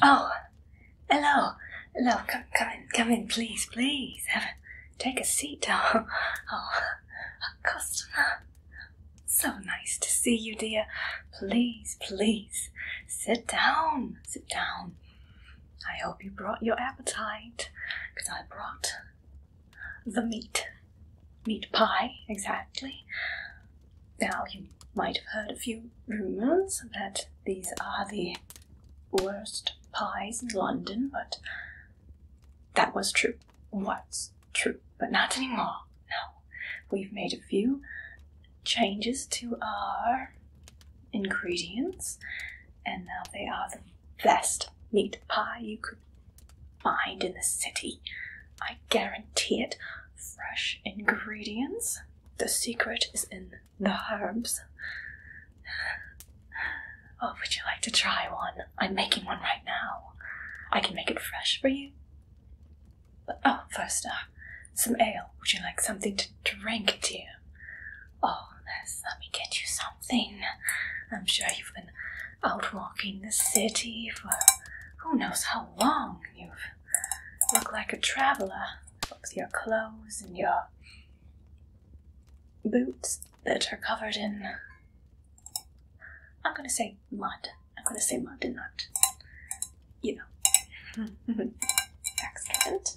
Oh, hello, hello, come, come in, come in, please, please, have a, take a seat. Oh, oh, a customer. So nice to see you, dear. Please, please, sit down, sit down. I hope you brought your appetite, because I brought the meat. Meat pie, exactly. Now, you might have heard a few rumours that these are the worst pies in London, but that was true. once, true, but not anymore. No. We've made a few changes to our ingredients, and now they are the best meat pie you could find in the city. I guarantee it. Fresh ingredients. The secret is in the herbs. Oh, would you like to try one? I'm making one right now. I can make it fresh for you oh, first off, some ale. Would you like something to drink, dear? Oh, yes, let me get you something. I'm sure you've been out walking the city for who knows how long. You've looked like a traveler with your clothes and your boots that are covered in. I'm gonna say mud. I'm gonna say mud in not you know. Hmm. Excellent.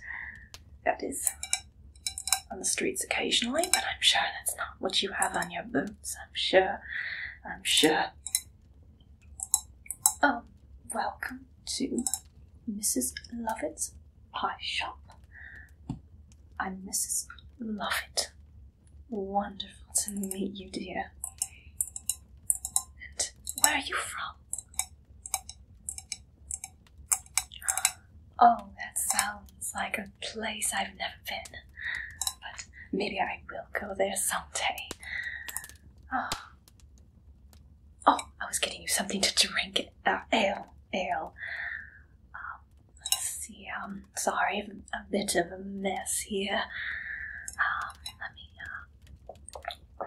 That is on the streets occasionally, but I'm sure that's not what you have on your boots. I'm sure. I'm sure. Oh, welcome to Mrs. Lovett's pie shop. I'm Mrs. Lovett. Wonderful to meet you, dear. And where are you from? Oh, that sounds like a place I've never been. But maybe I will go there someday. Oh, oh I was getting you something to drink. Uh, ale, ale. Um, let's see, um, sorry, a bit of a mess here. Um, let me, uh,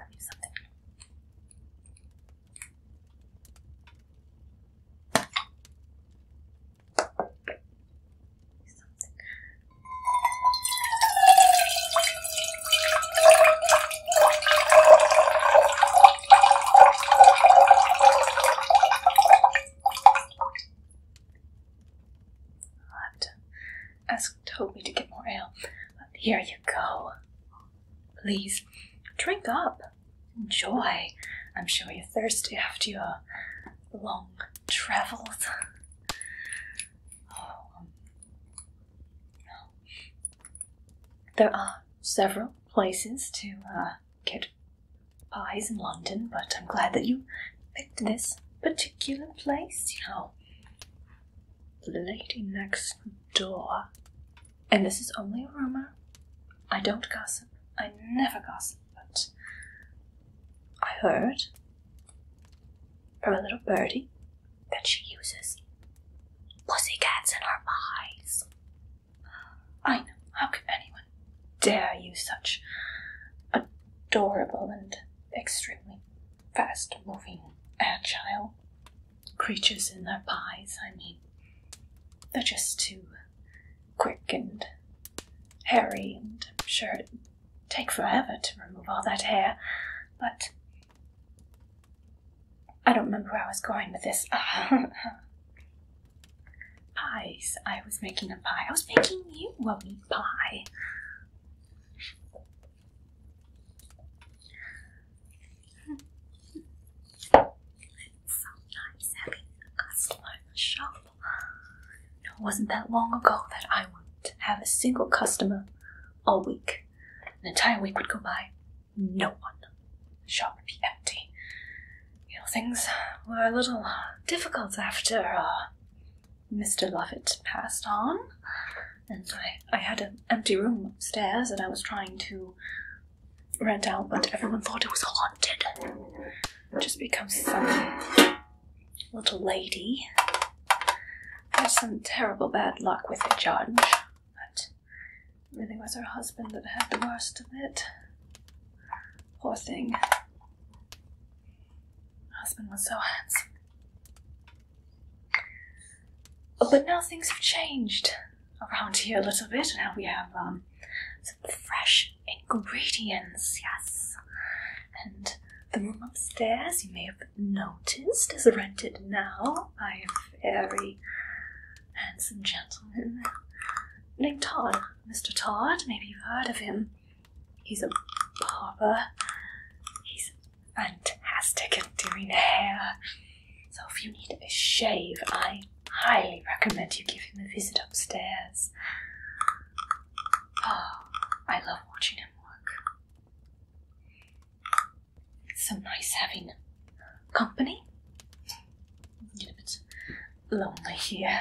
Something. I'll have to asked Toby to get more ale. Here you go. Please, drink up. Enjoy. I'm sure you're thirsty after your long travels. Oh, um, there are several places to uh, get pies in London, but I'm glad that you picked this particular place, you know. The lady next door, and this is only a rumor, I don't gossip, I never gossip, but I heard from a little birdie that she uses pussy cats in her pies. I know, how can anyone dare use such adorable and extremely fast moving, agile creatures in their pies. I mean, they're just too quick and hairy, and I'm sure it'd take forever to remove all that hair. But I don't remember where I was going with this. pies. I was making a pie. I was making you a pie. Sometimes having a customer shop. It wasn't that long ago that I would not have a single customer all week. An entire week would go by, no one. The shop would be empty. You know, things were a little uh, difficult after uh, Mr. Lovett passed on, and I, I had a empty room upstairs that I was trying to rent out, but everyone thought it was haunted. Just because some little lady has some terrible bad luck with the judge. But really was her husband that had the worst of it. Poor thing. husband was so handsome but now things have changed around here a little bit. Now we have um, some fresh ingredients, yes. And the room upstairs, you may have noticed, is rented now by a very handsome gentleman named Todd. Mr. Todd, maybe you've heard of him. He's a barber. He's fantastic at doing hair. So if you need a shave, I highly recommend you give him a visit upstairs. Oh, I love watching him work. It's so nice having company. I'm a bit lonely here.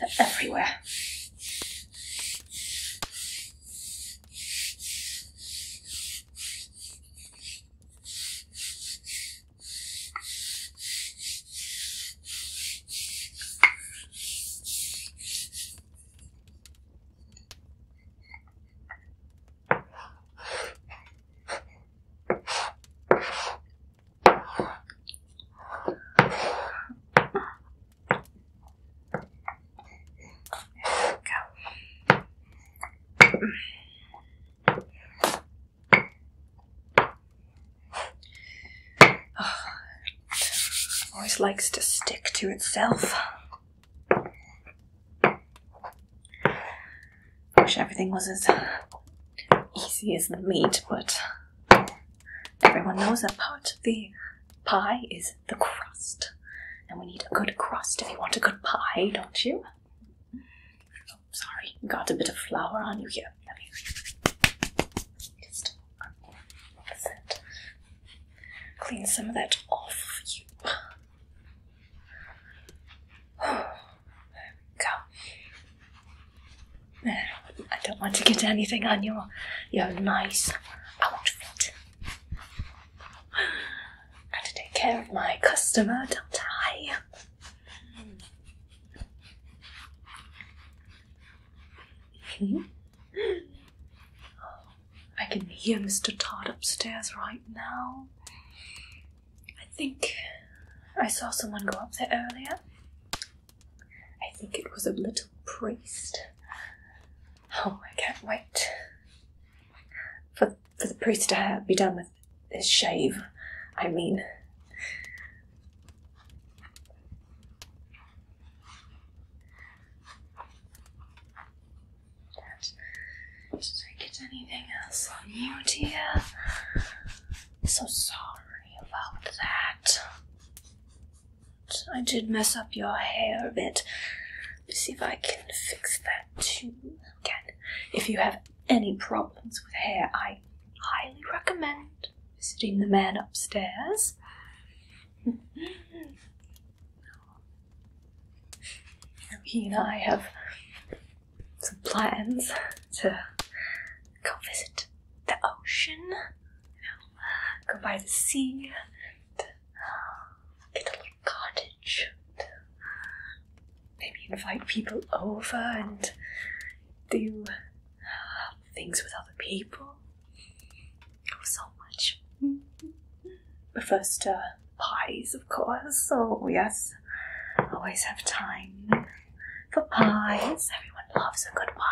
They're everywhere always likes to stick to itself. Wish everything was as easy as the meat, but Everyone knows that part of the pie is the crust. And we need a good crust if you want a good pie, don't you? Oh, sorry, got a bit of flour on you here. Just clean some of that off of you. There we go. I don't want to get anything on your your nice outfit. I have to take care of my customer, don't I? Hmm? I can hear Mr. Todd upstairs right now. I think I saw someone go up there earlier. I think it was a little priest. Oh, I can't wait for, for the priest to be done with his shave. I mean, Did I get anything else on you, dear? So sorry about that. I did mess up your hair a bit. Let's see if I can fix that too. Again, if you have any problems with hair, I highly recommend visiting the man upstairs. he and I have some plans to go visit the ocean you know, go by the sea get a little cottage. maybe invite people over and do uh, things with other people. Oh, so much. But first, uh, parties, of course. Oh, yes. Always have time for pies. Everyone loves a good pie.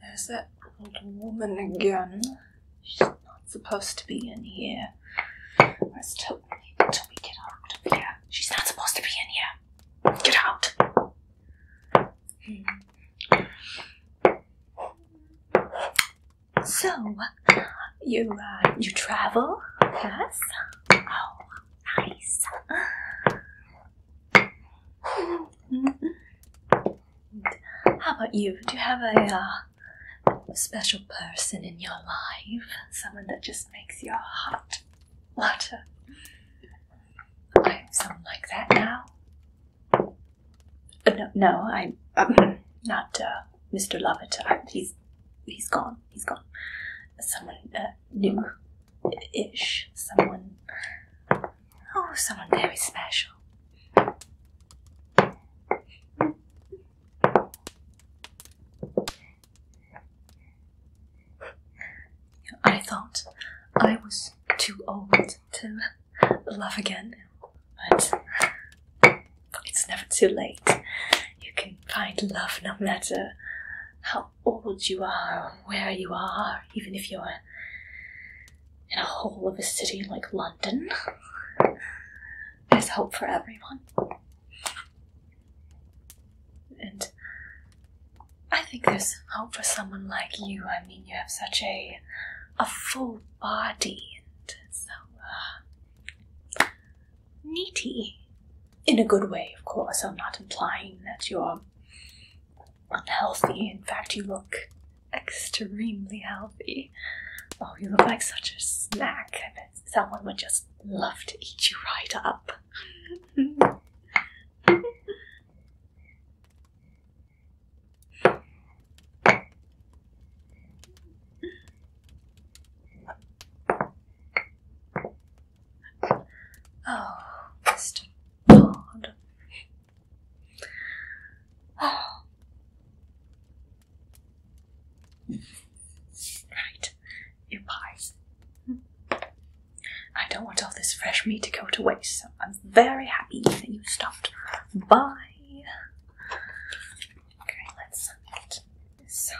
there's that old woman again. She's not supposed to be in here. Where's Toby? Toby, get out of here. She's not supposed to be in here. Get out. So, you uh, you travel, yes? Oh, nice. Mm-hmm. How about you? Do you have a, uh, special person in your life? Someone that just makes your heart flutter? I have someone like that now. Uh, no, no, uh, I, am not Mr. Lovett. he's, he's gone. He's gone. Someone uh, new-ish. Someone. Oh, someone very special. I thought I was too old to love again. But it's never too late. You can find love no matter how old you are, or where you are, even if you're in a hole of a city like London. There's hope for everyone. And I think there's hope for someone like you. I mean, you have such a a full body and so uh, neaty. In a good way, of course. I'm not implying that you're unhealthy. In fact, you look extremely healthy. Oh, you look like such a snack. I bet someone would just love to eat you right up. Oh, Mr. Bond. Right, your pies. I don't want all this fresh meat to go to waste, so I'm very happy that you stopped by. Okay, let's get this.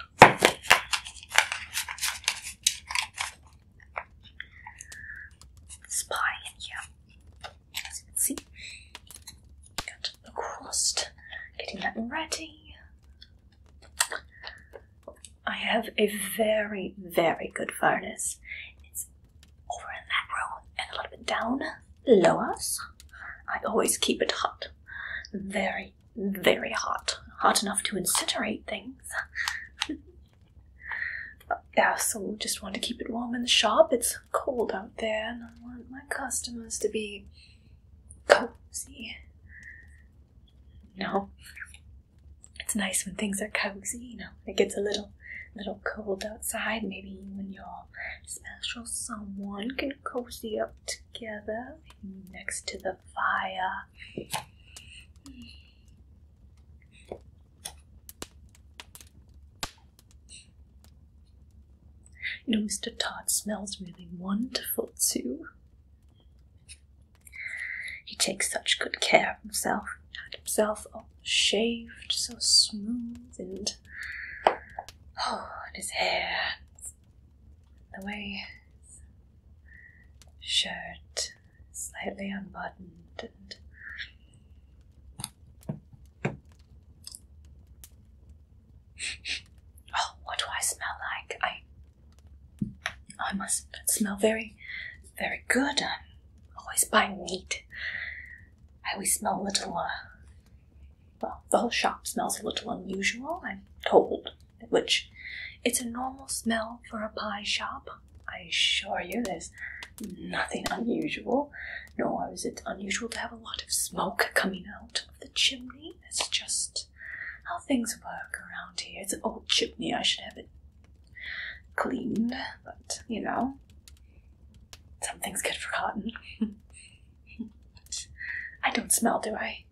This pie here. As you can see, got the crust, getting that ready. I have a very, very good furnace over in that row and a little bit down lowers. I always keep it hot. Very, very hot. Hot enough to incinerate things. yeah, so just want to keep it warm in the shop. It's cold out there and I want my customers to be cozy. No it's nice when things are cozy, you know, it gets a little little cold outside. Maybe when your special someone can cozy up together, next to the fire. You know, Mr. Todd smells really wonderful too. He takes such good care of himself and himself. Oh, shaved so smooth and oh his hair the way his shirt slightly unbuttoned and oh what do I smell like I I must smell very very good always buy meat. I always smell a little, uh, well, the whole shop smells a little unusual, I'm told, which it's a normal smell for a pie shop. I assure you there's nothing unusual, nor is it unusual to have a lot of smoke coming out of the chimney. It's just how things work around here. It's an old chimney, I should have it cleaned, but you know, something's good for cotton. I don't smell, do I?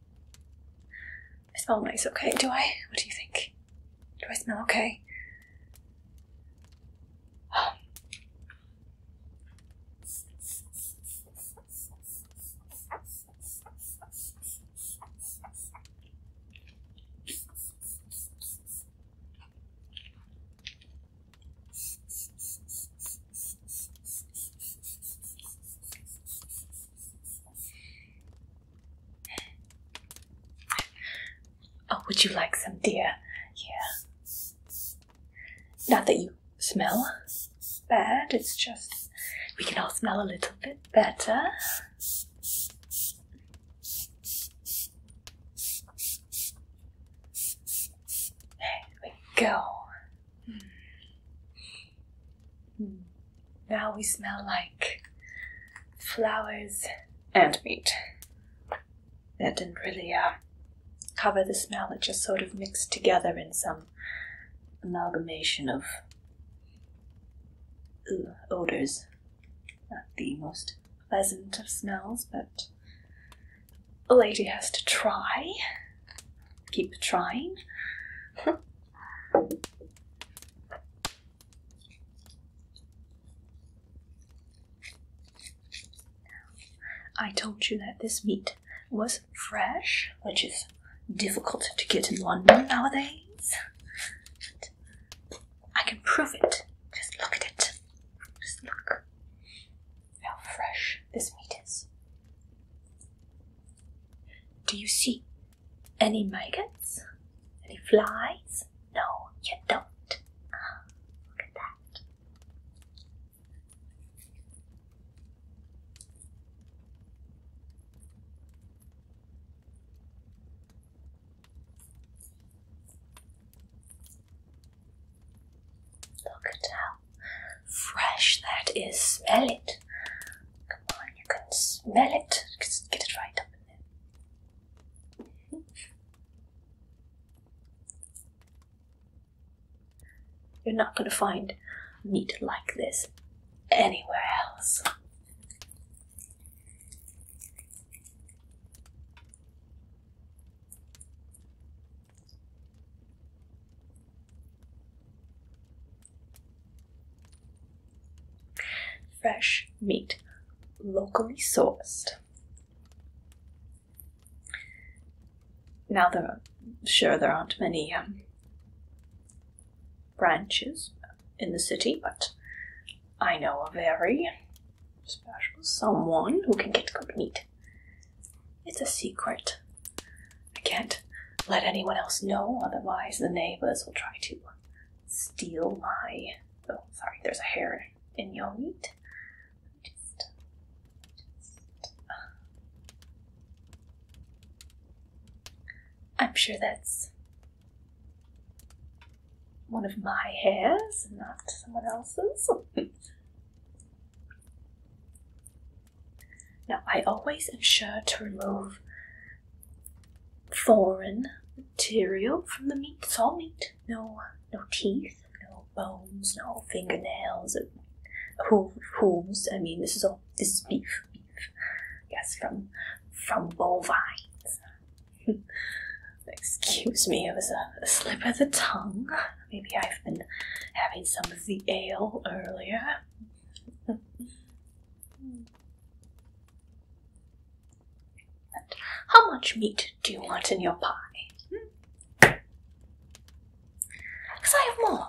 I smell nice, okay? Do I? What do you think? Do I smell okay? Oh, would you like some, dear? Yeah. Not that you smell bad, it's just we can all smell a little bit better. There we go. Hmm. Now we smell like flowers and meat. That didn't really uh, cover the smell, it just sort of mixed together in some amalgamation of uh, odors. Not the most pleasant of smells, but a lady has to try. Keep trying. I told you that this meat was fresh, which is difficult to get in London nowadays. I can prove it. Just look at it. Just look how fresh this meat is. Do you see any maggots? Any flies? No, you don't. Ah, look at that. Look at how fresh that is. Smell it. Come on, you can smell it. get it right up in there. You're not going to find meat like this anywhere else. Fresh meat, locally sourced. Now, there are, sure, there aren't many um, branches in the city, but I know a very special someone who can get good meat. It's a secret. I can't let anyone else know, otherwise the neighbors will try to steal my. Oh, sorry, there's a hair in your meat. I'm sure that's one of my hairs, not someone else's. now, I always ensure to remove foreign material from the meat. It's all meat. No, no teeth, no bones, no fingernails, hoof, hooves. I mean, this is all. This is beef. Beef. Yes, from from bovines. Excuse me, it was a, slip of the tongue. Maybe I've been having some of the ale earlier. how much meat do you want in your pie? Because hmm? I have more.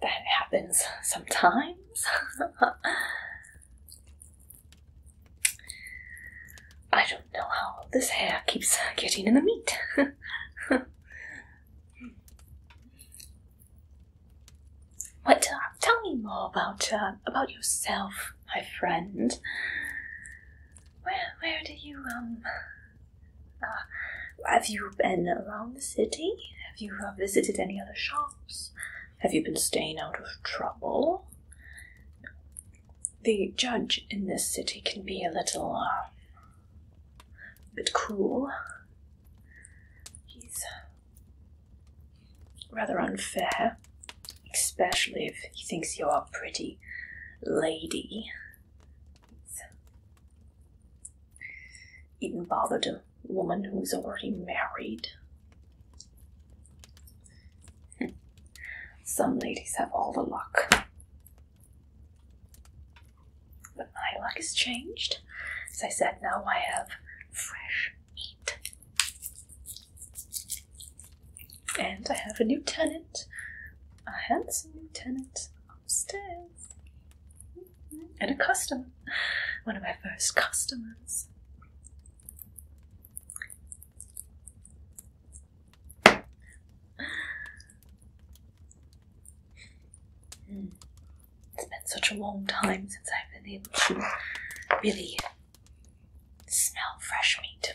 that happens sometimes. I don't know how this hair keeps getting in the meat. But uh, tell me more about uh, about yourself, my friend. Where where do you um? Uh, have you been around the city? Have you visited any other shops? Have you been staying out of trouble? The judge in this city can be a little bit cruel. He's rather unfair, especially if he thinks you're a pretty lady. Even bother a woman who's already married. Some ladies have all the luck. But my luck has changed. As I said, now I have fresh and I have a new tenant, a handsome new tenant upstairs, and a customer, one of my first customers. Hmm. It's been such a long time since I've been able to really Smell fresh meat.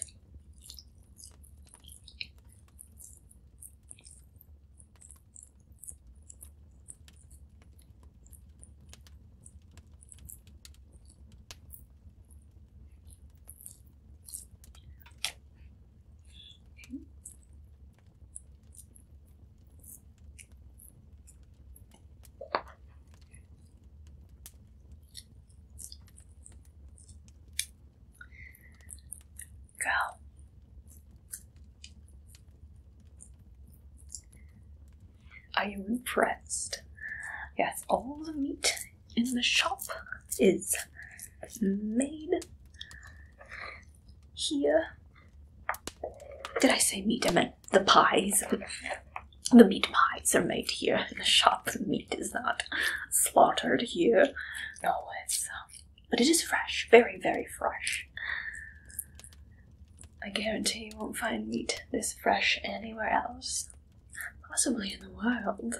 Go. Are you impressed? Yes, all the meat in the shop is made here. Did I say meat? I meant the pies. the meat pies are made here the shop. meat is not slaughtered here. No, it's um, but it is fresh, very, very fresh. I guarantee you won't find meat this fresh anywhere else, possibly in the wild.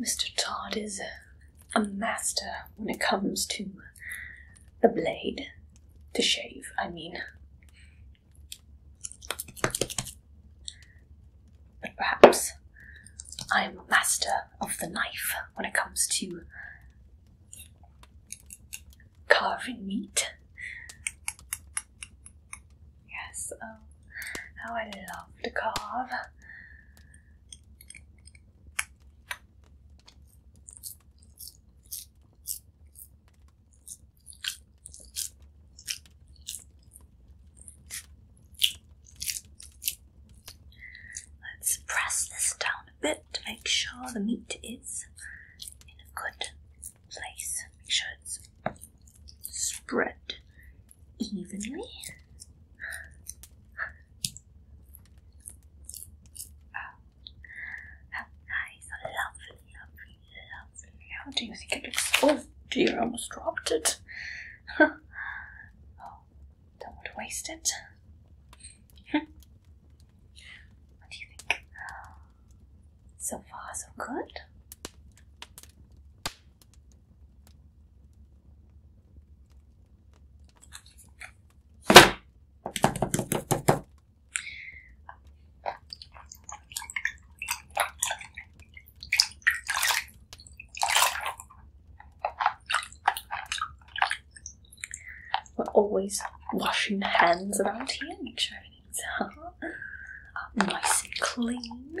Mr. Todd is a master when it comes to the blade to shave, I mean. But perhaps I'm master of the knife when it comes to carving meat. Yes, oh, how I love to carve. Let's press this down a bit to make sure the meat is in a good place. Make sure it's spread evenly. Ah. How nice, lovely, lovely, lovely. How do you think it looks? Oh dear, I almost dropped it. oh, don't want to waste it. what do you think? So far, so good. We're always washing hands around here, make sure everything's uh, nice and clean.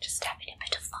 Just having a bit of fun.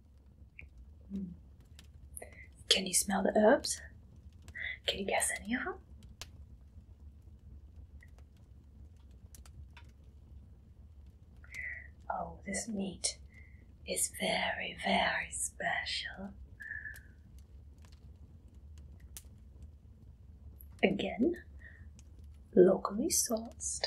Can you smell the herbs? Can you guess any of them? Oh, this meat is very, very special. Again, locally sourced.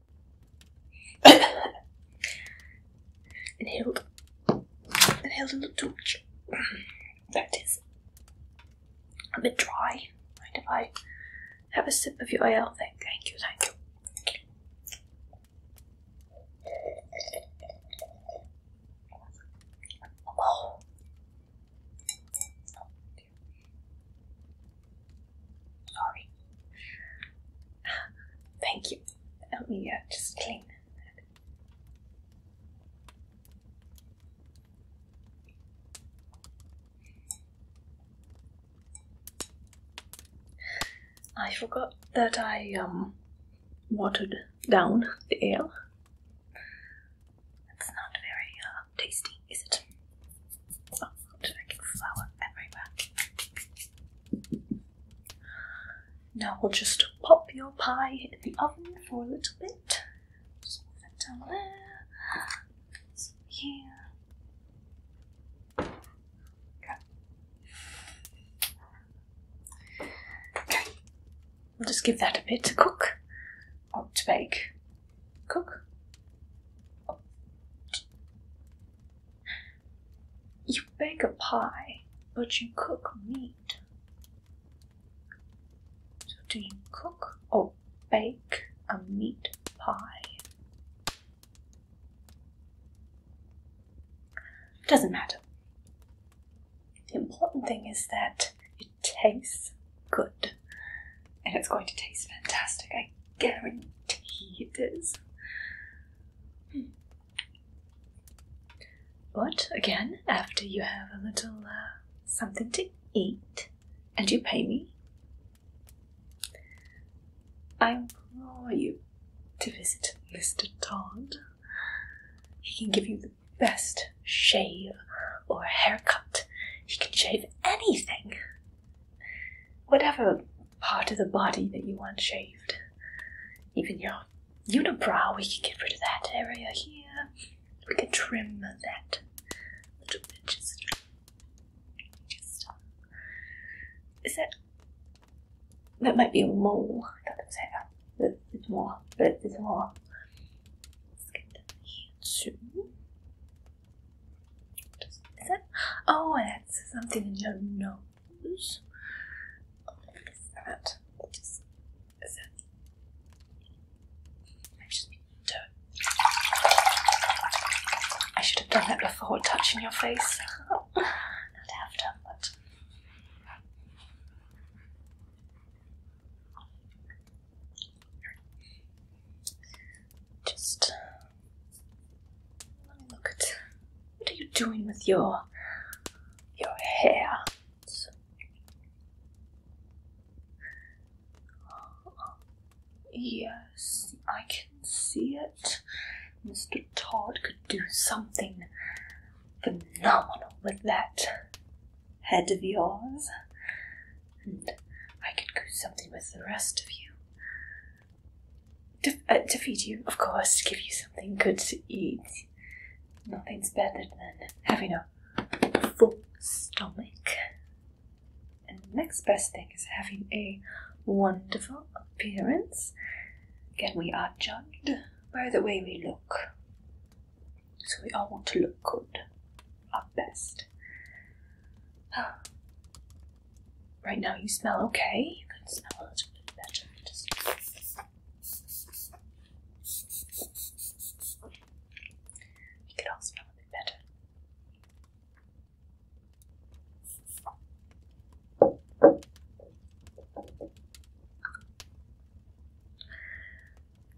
Inhaled. Inhaled a little too much. That is a bit dry. Mind if I have a sip of your ale? Thank, thank you, thank you. Oh. Sorry. Thank you. Help me out, just clean I forgot that I um watered down the ale. That's not very uh, tasty, is it? Oh, I'm flour everywhere. Now we'll just pop your pie in the oven for a little bit. Just down there. This here. okay. We'll just give that a bit to cook. Or oh, to bake. Cook. You bake a pie, but you cook meat. So, do you cook or bake a meat pie? Doesn't matter. The important thing is that it tastes good. And it's going to taste fantastic. I guarantee it is. Hmm. But again, after you have a little uh, something to eat and you pay me, I implore you to visit Mr. Todd. He can give you the best shave or haircut. He can shave anything whatever part of the body that you want shaved. Even your unibrow, we can get rid of that area here. We can trim that little bit. Just, just um, is that that might be a mole? I thought it was hair, A bit more. But it's more. Let's get down here too. Is that? Oh, that's something in your nose. I should have done that before touching your face. Not after, but. Just look at. What are you doing with your your hair? So, yes, I can see it. Mr. Todd could do something phenomenal with that head of yours. And I could do something with the rest of you. To, uh, feed you, of course, To give you something good to eat. Nothing's better than having a full stomach. And the next best thing is having a wonderful appearance. Again, we are judged by the way we look. So we all want to look good, our best. Right now you smell okay. You can smell a little bit better. You can all smell a bit better.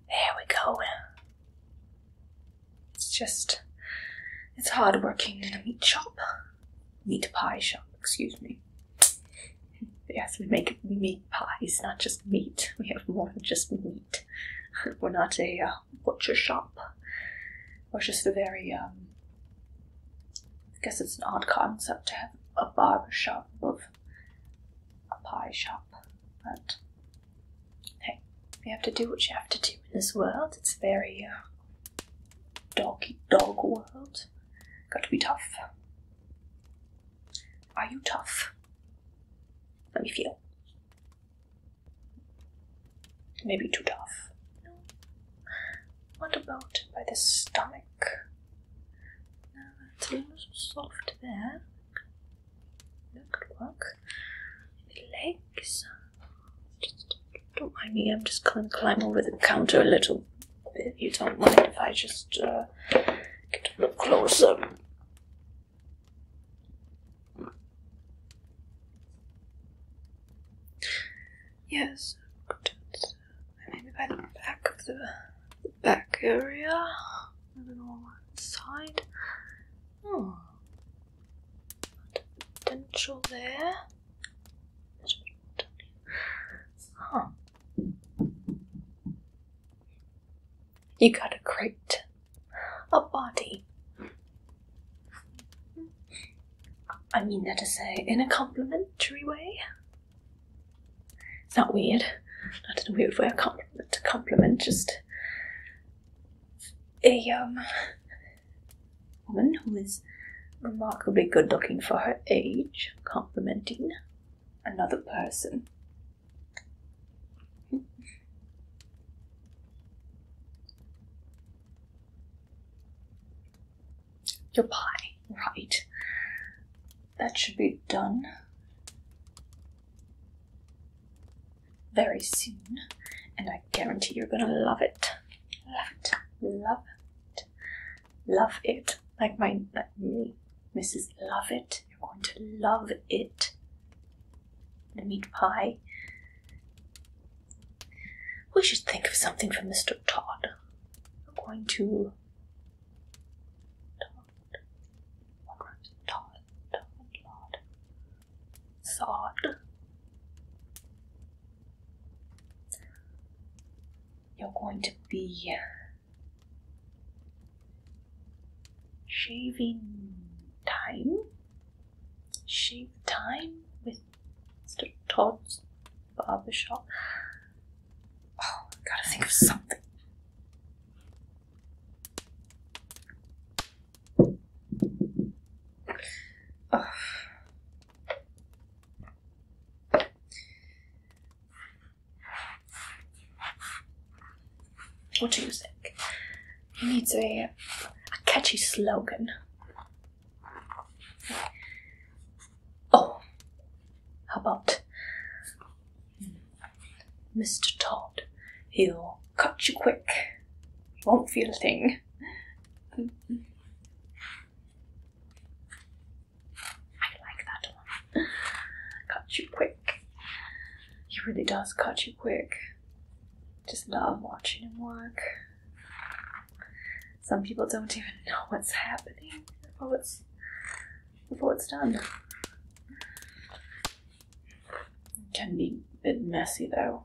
There we go. It's just, it's hard working in a meat shop meat pie shop, excuse me. Yes, we make meat pies, not just meat. We have more than just meat. We're not a uh, butcher shop. We're just a very, um, I guess it's an odd concept to have a barber shop above a pie shop. But hey, you have to do what you have to do in this world. It's very uh, doggy dog world. Got to be tough. Are you tough? Let me feel. Maybe too tough. No. What about by the stomach? No, it's a little soft there. could work. The legs. Just don't mind me, I'm just gonna climb over the counter a little bit. You don't mind if I just uh, get a little closer. Yes, maybe by the back of the, the back area, maybe on one side. Oh, potential there. You got a crate, a body. I mean that to say in a complimentary way. It's not weird. Not in a weird way. A compliment. A compliment. Just a um woman who is remarkably good looking for her age, complimenting another person. Your pie, right. That should be done very soon, and I guarantee you're gonna love it. Love it, love it love it. Like my like me, Mrs. Love It. You're going to love it. The meat pie. We should think of something for Mr. Todd. We're going to Todd, Todd, Todd, Sod. You're going to be shaving time, shave time with Mr. Todd's barbershop. Oh, gotta think of something. Oh, what do you think? He needs a, catchy slogan. Oh, how about Mr. Todd? He'll cut you quick. He won't feel a thing. I like that one. you quick. He really does catch you quick. Just love watching him work. Some people don't even know what's happening before what's before it's done. can be a bit messy though.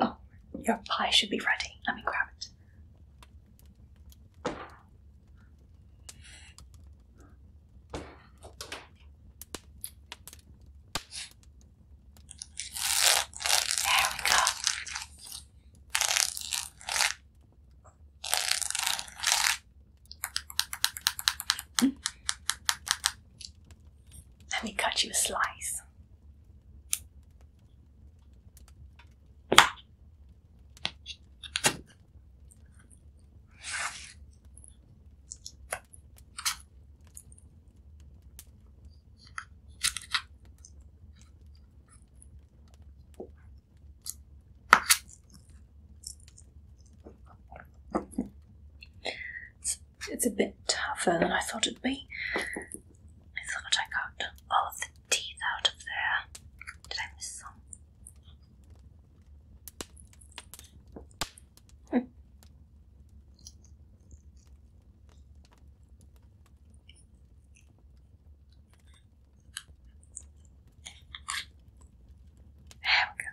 Oh, your pie should be ready. Let me grab it. There we go. Let me cut you a slice. It's, a bit tougher than I thought it'd be. I thought I got all the teeth out of there. Did I miss some? There we go.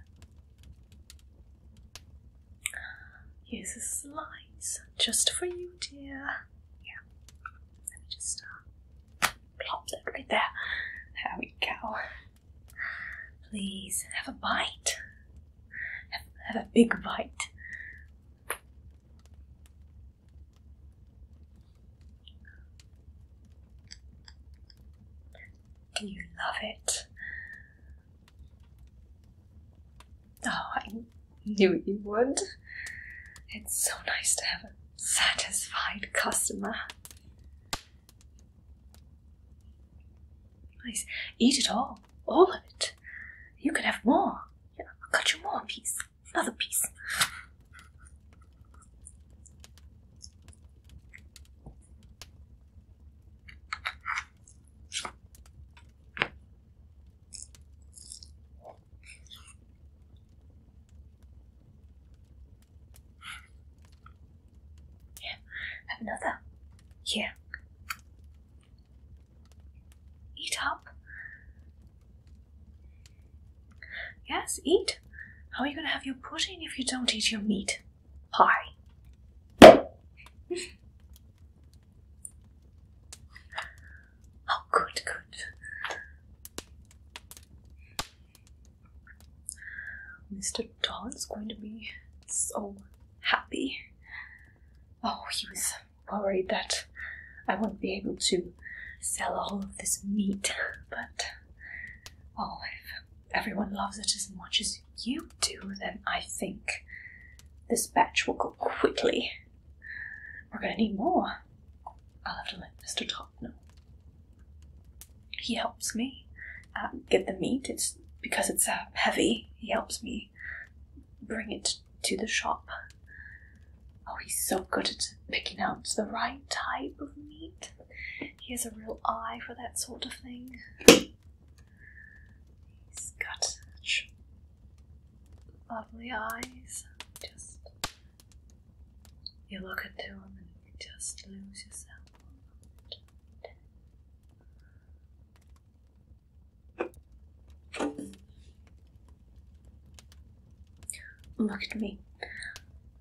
Here's a slice just for you, dear. Yeah. Let me just uh, plop right there. There we go. Please have a bite. have a big bite. Do you love it? Oh, I knew you would. It's so nice to have a satisfied customer. Nice. eat it all, all of it. You could have more. Yeah, I'll cut you more piece, another piece. Yeah, another. Yeah. Eat up. Yes, eat. How are you going to have your pudding if you don't eat your meat? Hi. oh, good, good. Mr. Todd's going to be so happy. Oh, he was worried that I wouldn't be able to sell all of this meat but well, if everyone loves it as much as you do, then I think this batch will go quickly. We're gonna need more. I'll have to let Mr. Top know. He helps me uh, get the meat. It's because it's uh, heavy. He helps me bring it to the shop. Oh, he's so good at picking out the right type of meat. He has a real eye for that sort of thing. He's got such lovely eyes. Just you look into him and you just lose yourself. Look at me.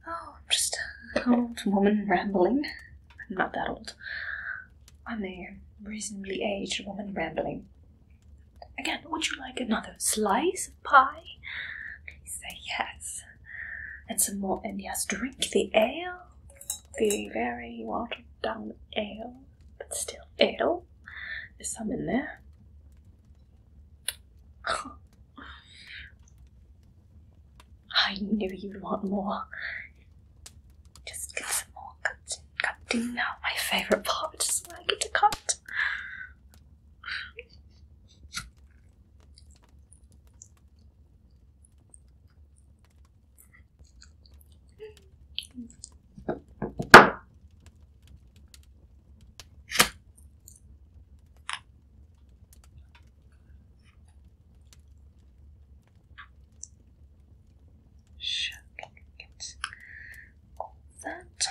Oh, just an old woman rambling. I'm not that old. I'm a reasonably aged woman rambling. Again, would you like another slice of pie? Please say yes. And some more, and yes, drink the ale. The very watered down ale, but still ale. There's some in there. I knew you'd want more. Just get some more cutting. Cutting now, my favourite part. Just when I get to cut. Sure, can you that?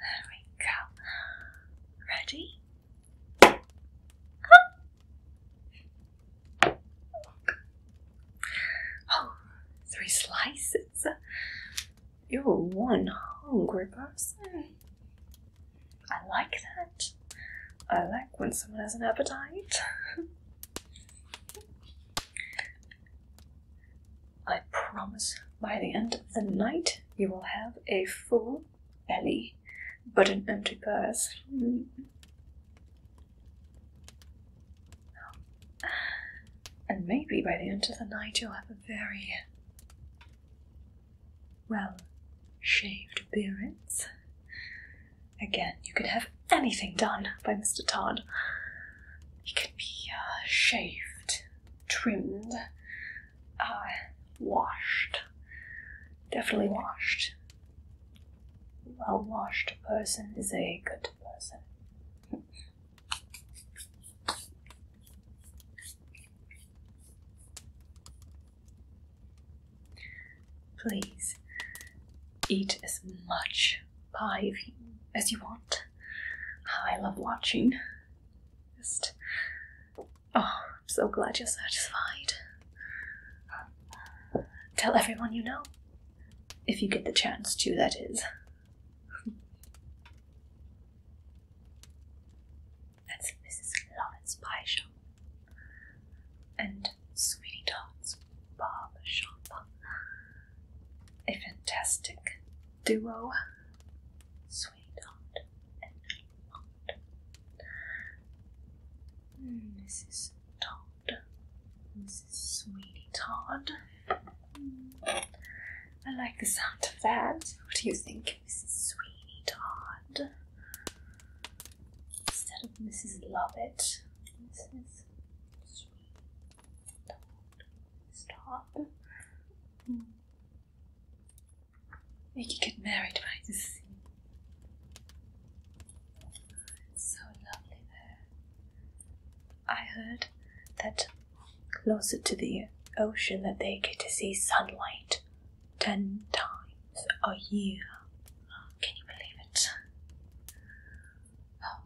There we go. Ready? Oh, three slices. You're one hungry person. I like that. I like when someone has an appetite. I promise by the end of the night you will have a full belly, but an empty purse. And maybe by the end of the night you'll have a very well shaved beards. Again, you could have anything done by Mr. Todd. He could be uh, shaved, trimmed, uh, washed. Definitely washed. A Well washed person is a good person. Please eat as much pie as you want. I love watching. Just, oh, I'm so glad you're satisfied. Tell everyone you know, if you get the chance to, that is. That's Mrs. Lawrence Pie Shop and Sweetie Todd's Barber Shop. A fantastic duo, Sweetie Todd and Dot. Mrs. Todd, Mrs. Sweetie Todd. I like the sound of that. What do you think? Mrs. Sweeney Todd. Instead of Mrs. Lovett, Mrs. Sweeney Todd. Stop. Hmm. Make get married by the sea. It's so lovely there. I heard that closer to the ocean that they get to see sunlight ten times a year. Can you believe it? Oh.